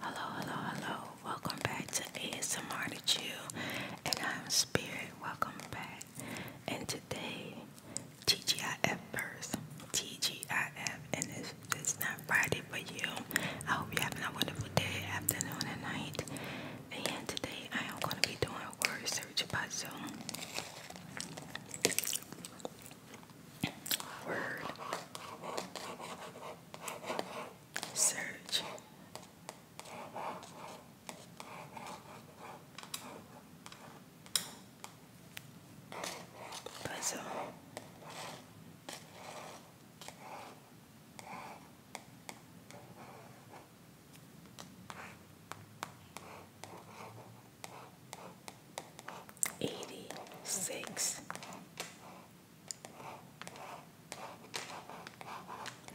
Hello, hello, hello. Welcome back to ASMR to Chill. And I'm Spirit. Welcome back. And today, TGIF first. TGIF. And it's, it's not Friday for you. I hope you're having a wonderful day, afternoon, and night. And today, I am going to be doing a word search puzzle word search. Puzzle eighty six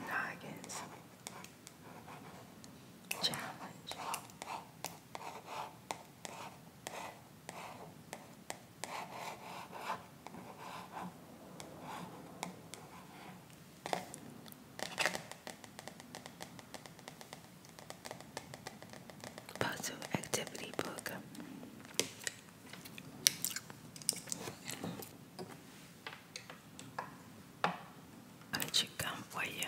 noggins challenge puzzle activity book. Let you come for you.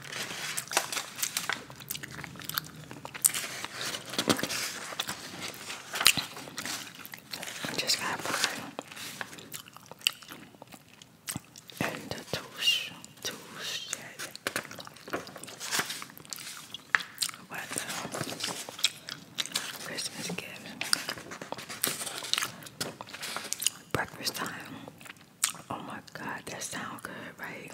Just gotta put in the touche, touche, what Christmas gift, breakfast time. Oh my god, that sounds good, right?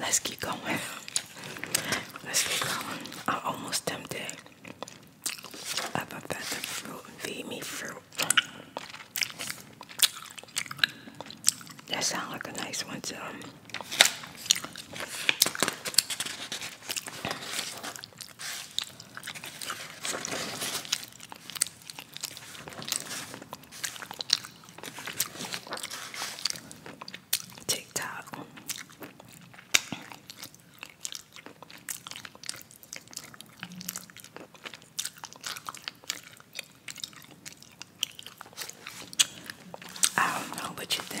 Let's keep going. Let's keep going. I'm almost tempted. I'm about fruit feed fruit. That sounds like a nice one too. TikTok. I don't know what you think.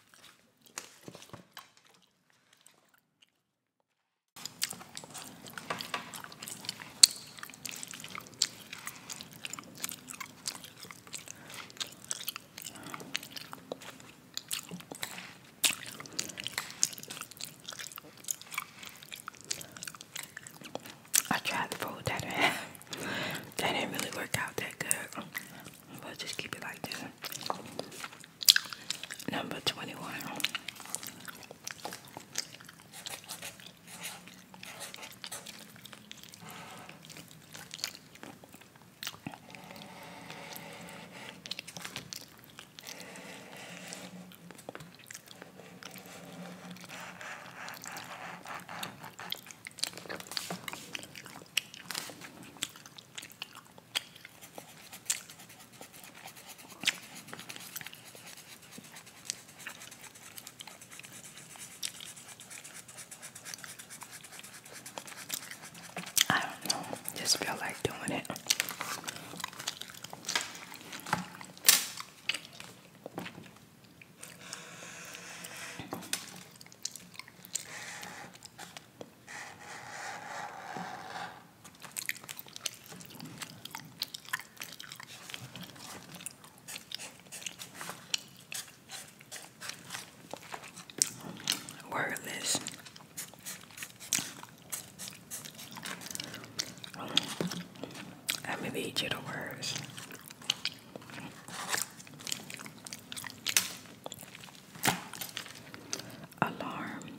I tried the food that I had. That didn't really work out that good let just keep it like this. Number 21. I don't know, just feel like doing it. Wordless. Let me read you the words. Alarm,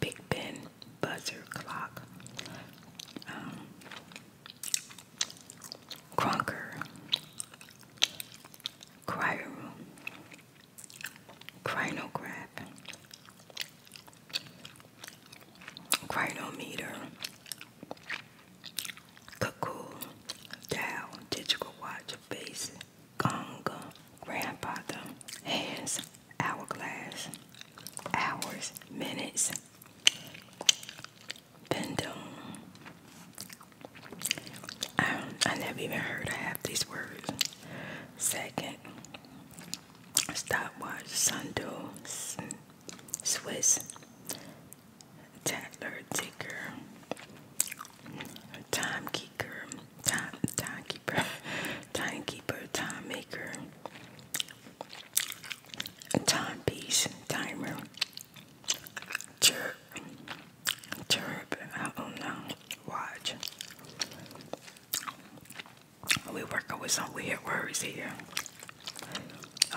Big Ben, buzzer clock, um, Cronker, Cryo Room, Crinograph, Crinometer, Cuckoo, Dow, Digital Watch, face, Gonga, Grandfather, Hands, Hourglass, Hours, Minutes, Bendum. I, um, I never even heard I have these words. Second, stopwatch, sundial, Swiss, Tattler, Ticker, Timekeeper, Time Timekeeper, Timekeeper, Time Maker, Timepiece, Timer, Chirp, Chirp, I do Watch. We working with some weird words here.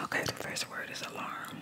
Okay, the first word is alarm.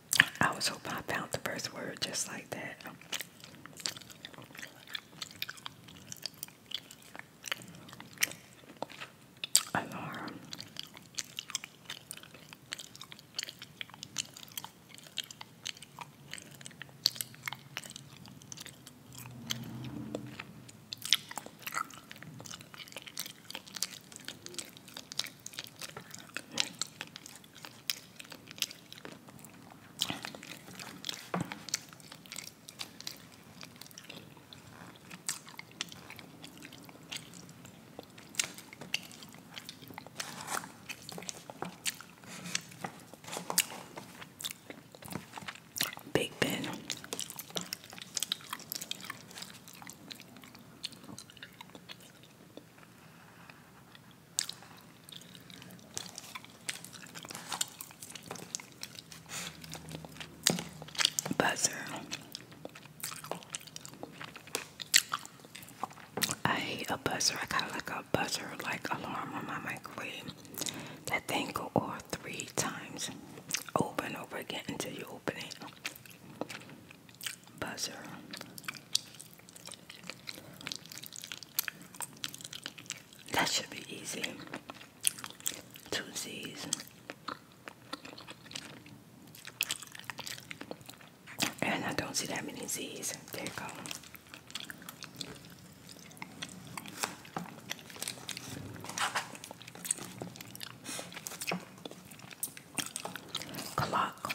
I was hoping I found the first word just like that. Alarm. Big Ben. Buzzer. I hate a buzzer. I kind of like a buzzer like alarm on my microwave. That thing go off three times over and over again until you open it buzzer. That should be easy. Two Z's. And I don't see that many Z's. There you go. Clock.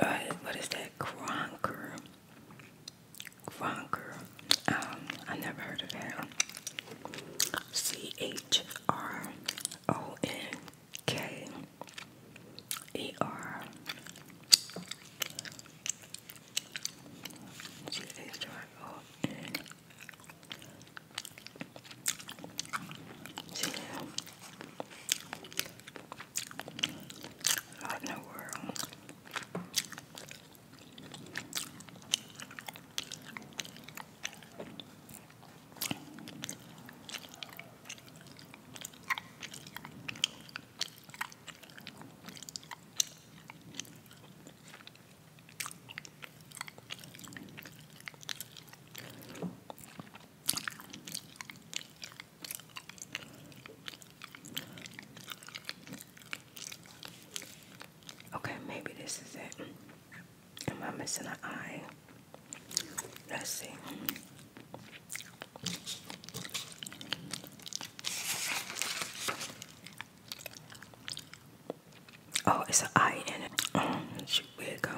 Uh, what is that? Cronker. Cronker. Um, I never heard of that. C H R O N K E R. What in the world? Okay, maybe this is it. Am I missing an eye? Let's see. Oh, it's an eye in it. Oh, she weird go.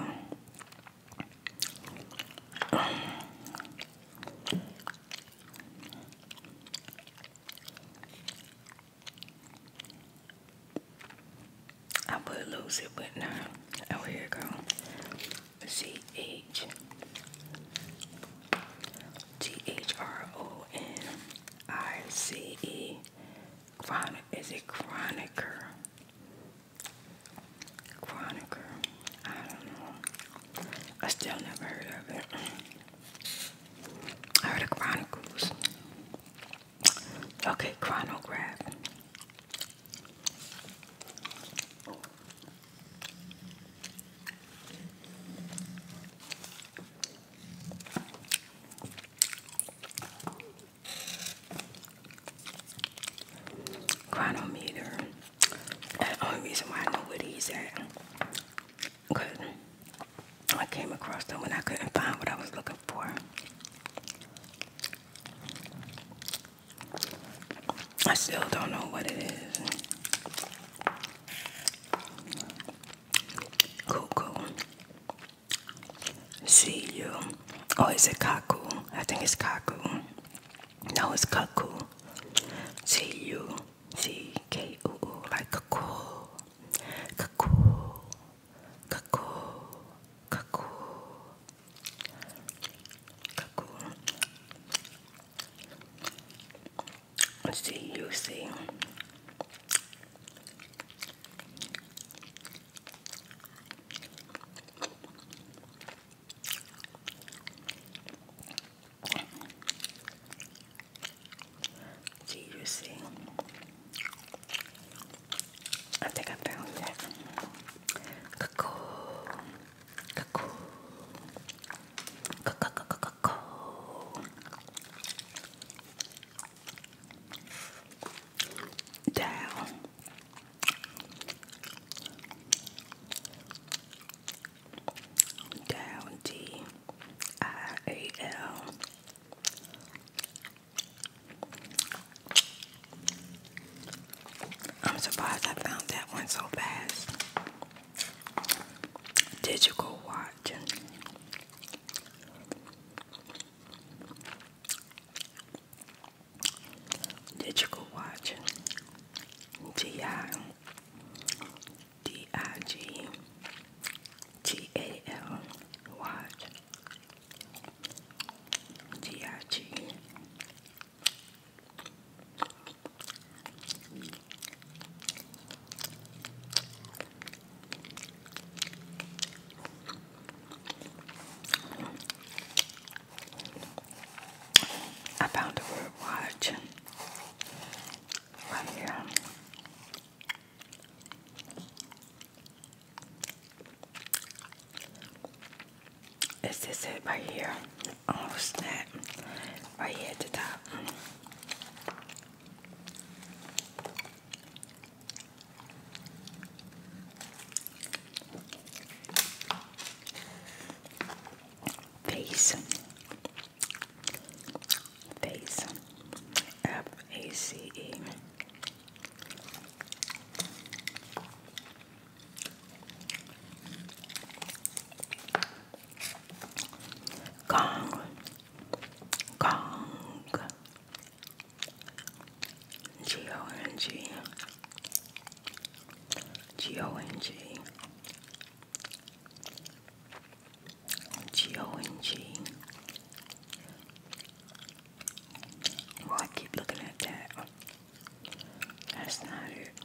I would lose it, but no. Oh, here it goes. C H T H R O N I C E. Chronic. Is it Chroniker? Chronicler. I don't know. I still never heard of it. I heard of Chronicles. Okay, Chronograph chronometer. the only reason why I know where these at. Cause I came across them when I couldn't find what I was looking for. I still don't know what it is. Cool, cool. See you. Oh, is it Kaku? I think it's Kaku. No, it's Kaku. See you. See C K U U like Kaku. Kaku. Kaku. Kaku. Kaku. See you. See. Seriously, I think I found that. Cocoa, cocoa, cocoa, cocoa, cocoa down. Down D I A L I'm surprised I found that one so fast. Digital watch. Digital Watch, D-I, D-I-G, T-A-L, Watch, D-I-G, I found a word watch right here. Is this it right here? Oh snap. Right here at the top. Face, face, F A C E. Gong, gong, G O N G G O N G G O N G. Well, I keep looking at that. That's not it.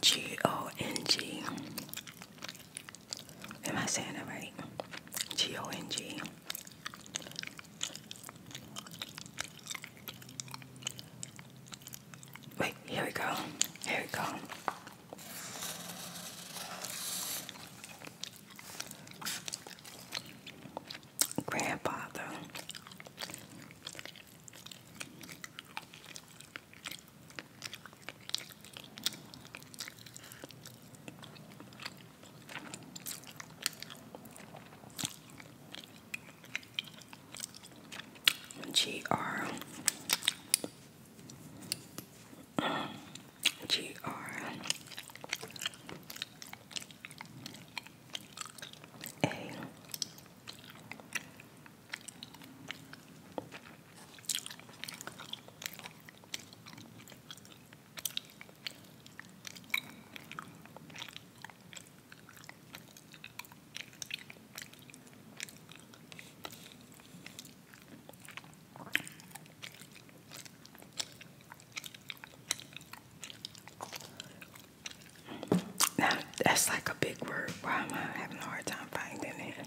G O N G. Am I saying it right? G O N G. Wait, here we go. Here we go. Grandfather. G R G R A now that's like a big word. Why am I having a hard time finding it?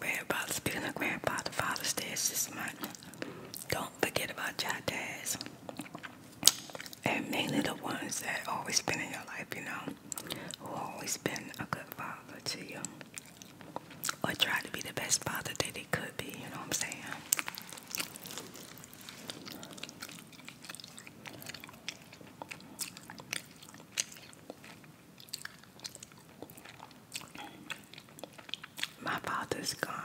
Grandfather, speaking of grandfather, Father's Day this month. Don't forget about your dads. And mainly the ones that always been in your life, you know, who always been a good father to you. Or tried to be the best father that they could be, you know what I'm saying? My father's gone.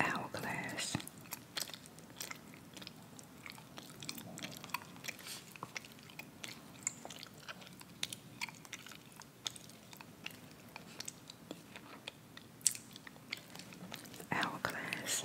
Hourglass. Hourglass.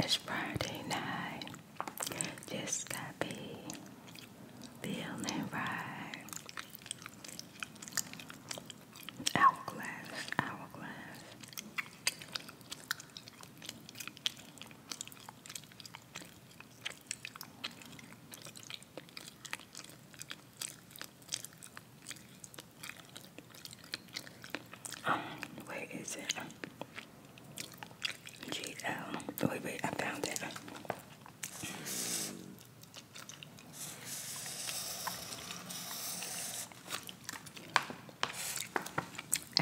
It's Friday night. Just got be feeling right. Hourglass, hourglass. Um, where is it? GL. wait, wait, I found it.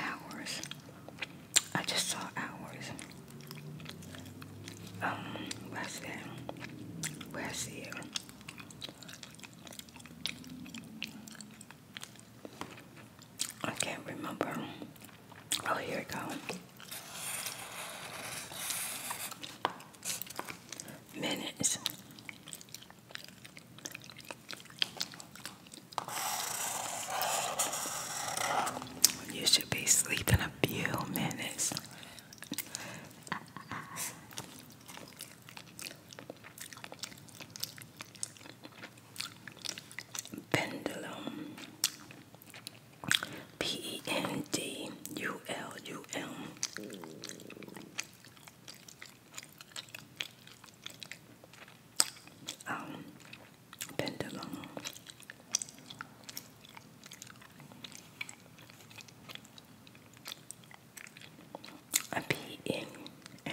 Hours. I just saw hours. Um, where's that? Where's it? I can't remember. Oh, here it goes. Minutes. You should be sleeping a few minutes. Pendulum. P E N D U L U M. Um, pendulum. A P N N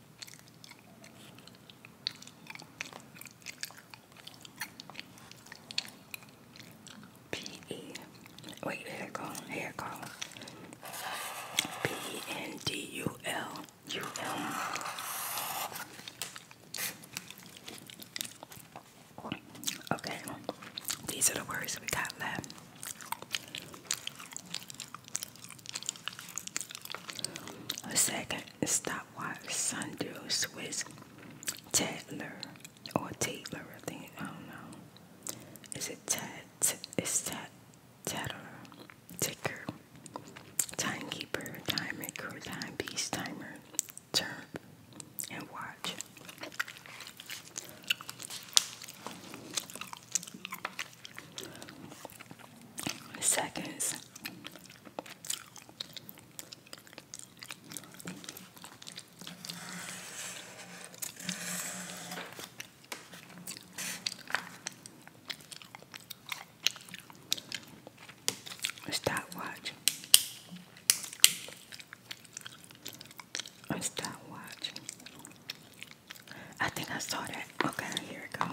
P-E, wait, here it goes, here it goes. P-E-N-D-U-L-U-M. Okay, these are the words we got left. A second, stopwatch, sundew, Swiss, Tadler, or Taylor, I think, I don't know. Is it Tad, it's Tad, Tadler, Ticker, Timekeeper, Time Maker, Timepiece, Timer, Turn, and Watch. Seconds stopwatch. stopwatch. I think I saw that. Okay, here it goes.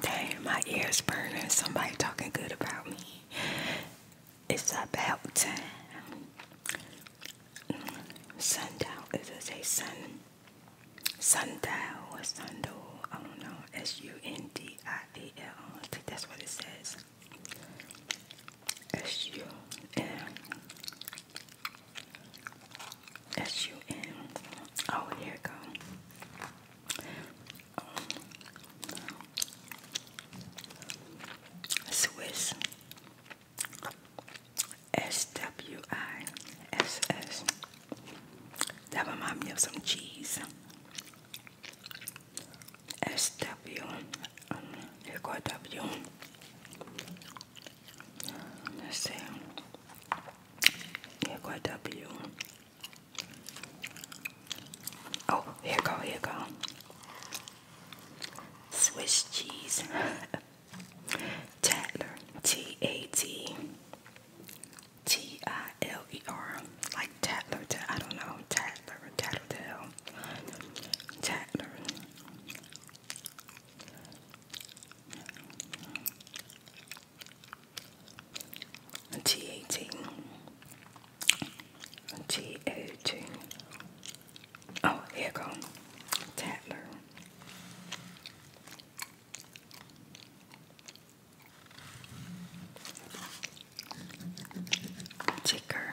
Dang, my ears burning. Somebody talking good about me. It's about time. Sundown. Is it say sun? Sundown or sundown? I don't know. S U N D I A L. I think that's what it says. S U N S U N. Oh, here it goes. Um, Swiss S W I S S. That reminds me of some cheese. S W. Um, here go W. Let's see. Here go Oh, here go, here go. Swiss cheese. Tatler. T A T T I L E R. Like Tatler. I don't know. Tatler. Tattletale. Tattlers. T18. T18. Oh, here go. Tattler. Ticker.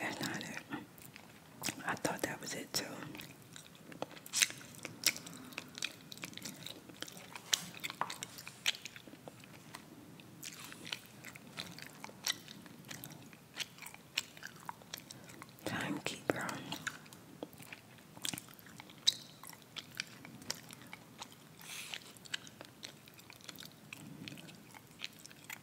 That's not it. I thought that was it too. Timekeeper.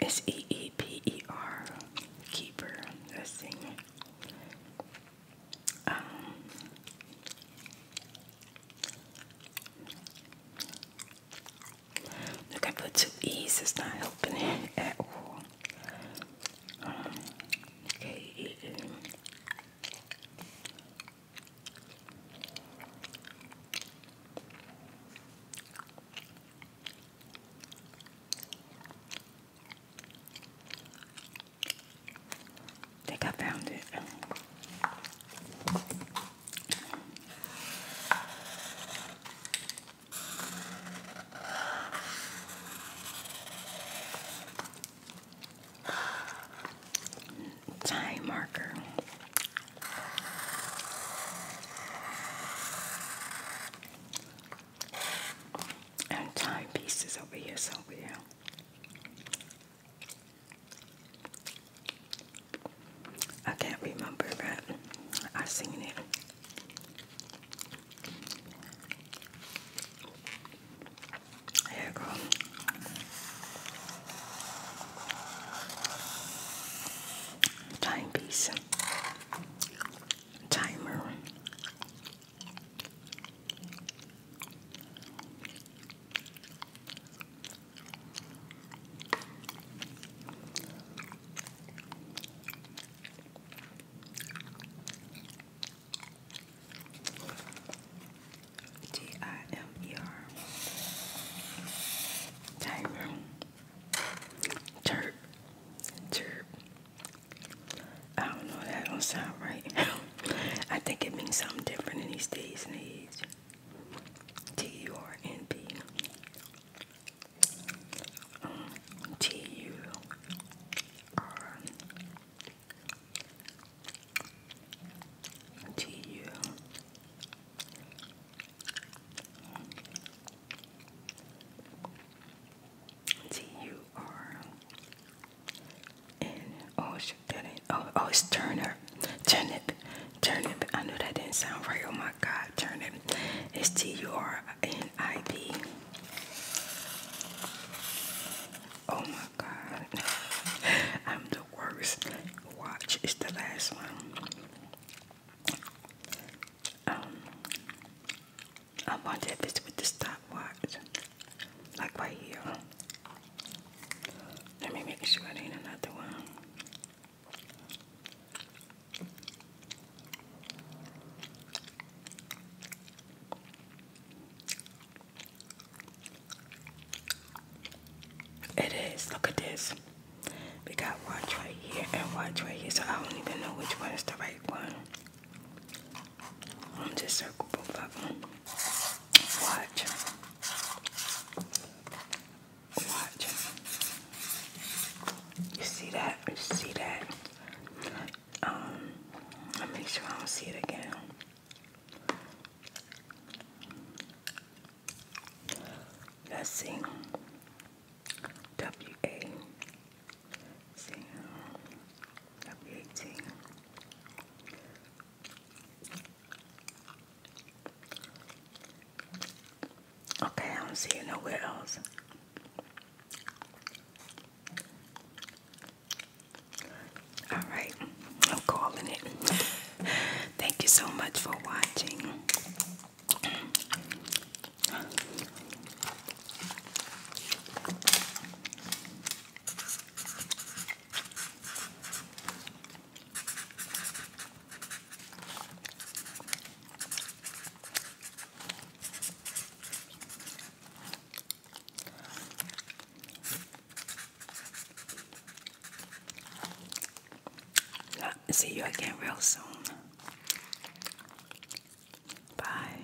S E E P E R, Keeper. Let's um, look, I put two E's. It's not helping at all. Um, I think I found it time marker. And time pieces over here somewhere. I can't remember, but I've seen it. Here you go. Timepiece, timer, G-I-M-E-R. Timer. Chirp. Chirp. I don't know, that don't sound right. I think it means something different in these days and age. T-U-R-N-B. T-U-R to you. T U R and oh shit that ain't oh oh it's turnip turnip turnip I know that didn't sound right oh my god turnip it's T U R N I B Oh my god I'm the worst watch is the last one. Um, I wonder if with the stopwatch, like right here. Let me make sure it ain't another one. It is. Look at this. We got watch right here and watch right here, so I don't even know which one is the right one. I'm just circling both of them. Watch. Watch. You see that? You see that? Um, I'll make sure I don't see it again. Let's see. W A C W A T. Okay, I don't see it nowhere else. All right, I'm calling it. Thank you so much for watching. See you again real soon. Bye.